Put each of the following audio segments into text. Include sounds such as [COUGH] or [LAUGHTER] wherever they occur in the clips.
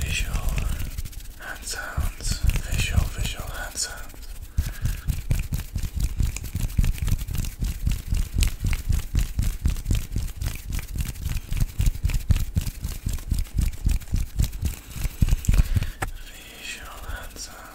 Visual hand sounds. Visual, visual hand sounds. Visual hand sounds.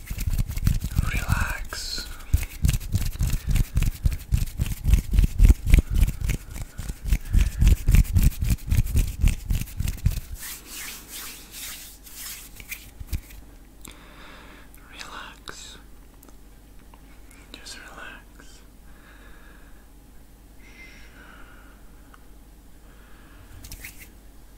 relax. Relax. Just relax.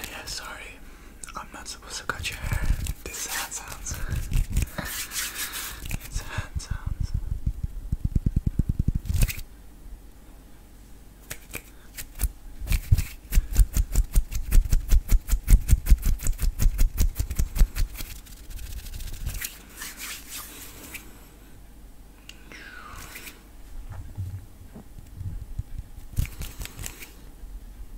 [SIGHS] yeah, sorry. I'm not supposed to cut your hair. This hand it's hand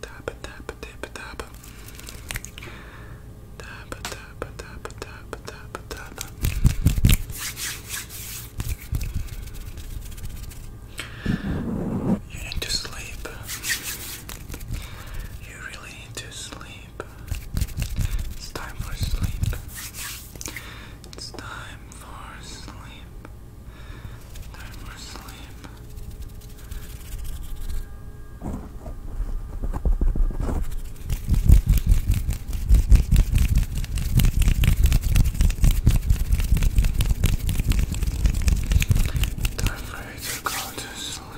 Tap tap tap tap. Tap tap tap tap tap tap. You need to sleep. You really need to sleep. It's time for sleep. It's time for sleep. Time for sleep. Time for to go to sleep.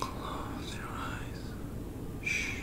Close your eyes. Shh.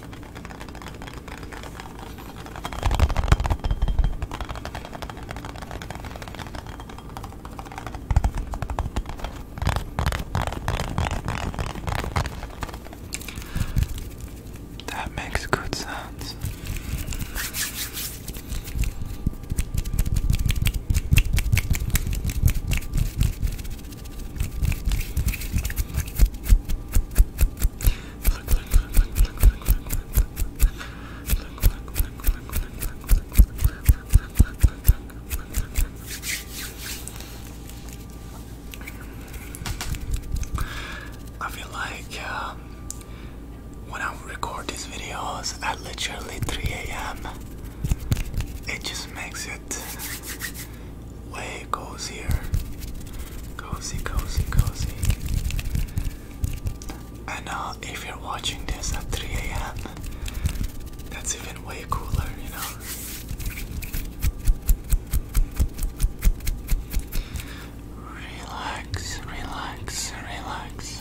That makes good sense. I feel like um, when I record these videos at literally 3 a.m., it just makes it blanket. Way here, Cozy, cozy, cozy. And now, if you're watching this at 3 a.m., that's even way cooler, you know? Relax, relax, relax.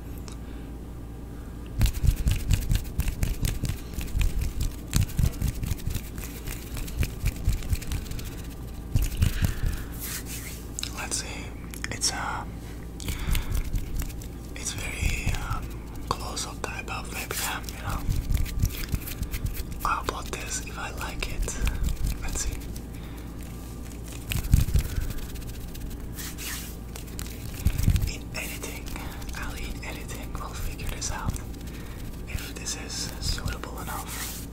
Let's see. It's a, uh, it's very um, close-up type of webcam, you know. I'll upload this if I like it. Let's see. In editing, I'll in editing, we'll figure this out. If this is suitable enough,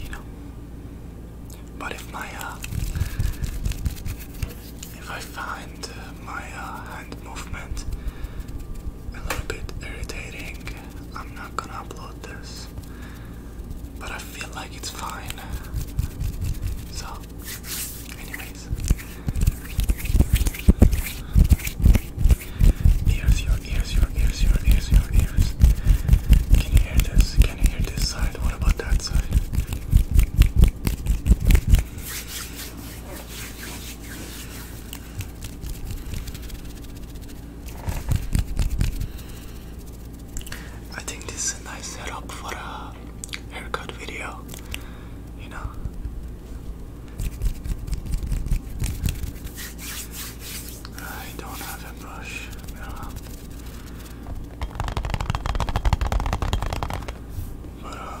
you know. But if my, uh, if I find uh, my uh, hand movement a little bit irritating, I'm not gonna upload this but I feel like it's fine. So, anyways, ears, your ears, your ears, your ears, your ears. Can you hear this? Can you hear this side? What about that side? I think this is a nice setup for a haircut video, you know. I don't have a brush. But um,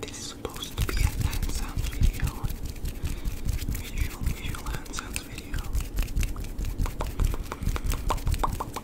This is supposed to be a hand sounds video. Visual, visual hand sounds video.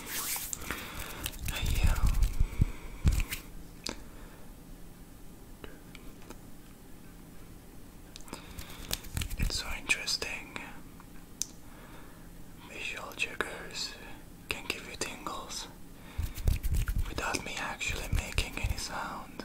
I, it's so interesting. Visual triggers can give you tingles without me actually making any sound.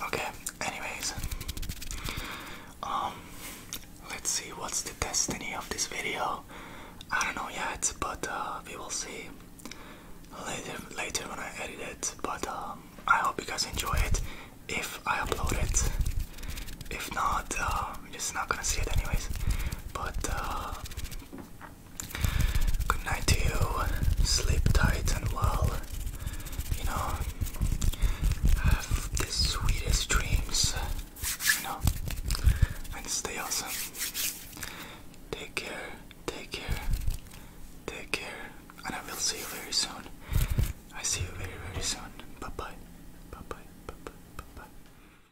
Okay, anyways. Um let's see what's the destiny of this video. I don't know yet, but uh, we will see later later when I edit it. But um, I hope you guys enjoy it if I upload it. If not, uh, I'm just not gonna see it anyways. But uh, Good night to you. Sleep tight and well. You know, have the sweetest dreams. You know, and stay awesome. Take care, take care, take care, and I will see you very soon. I see you very, very soon. Bye bye. Bye bye. Bye bye. Bye bye.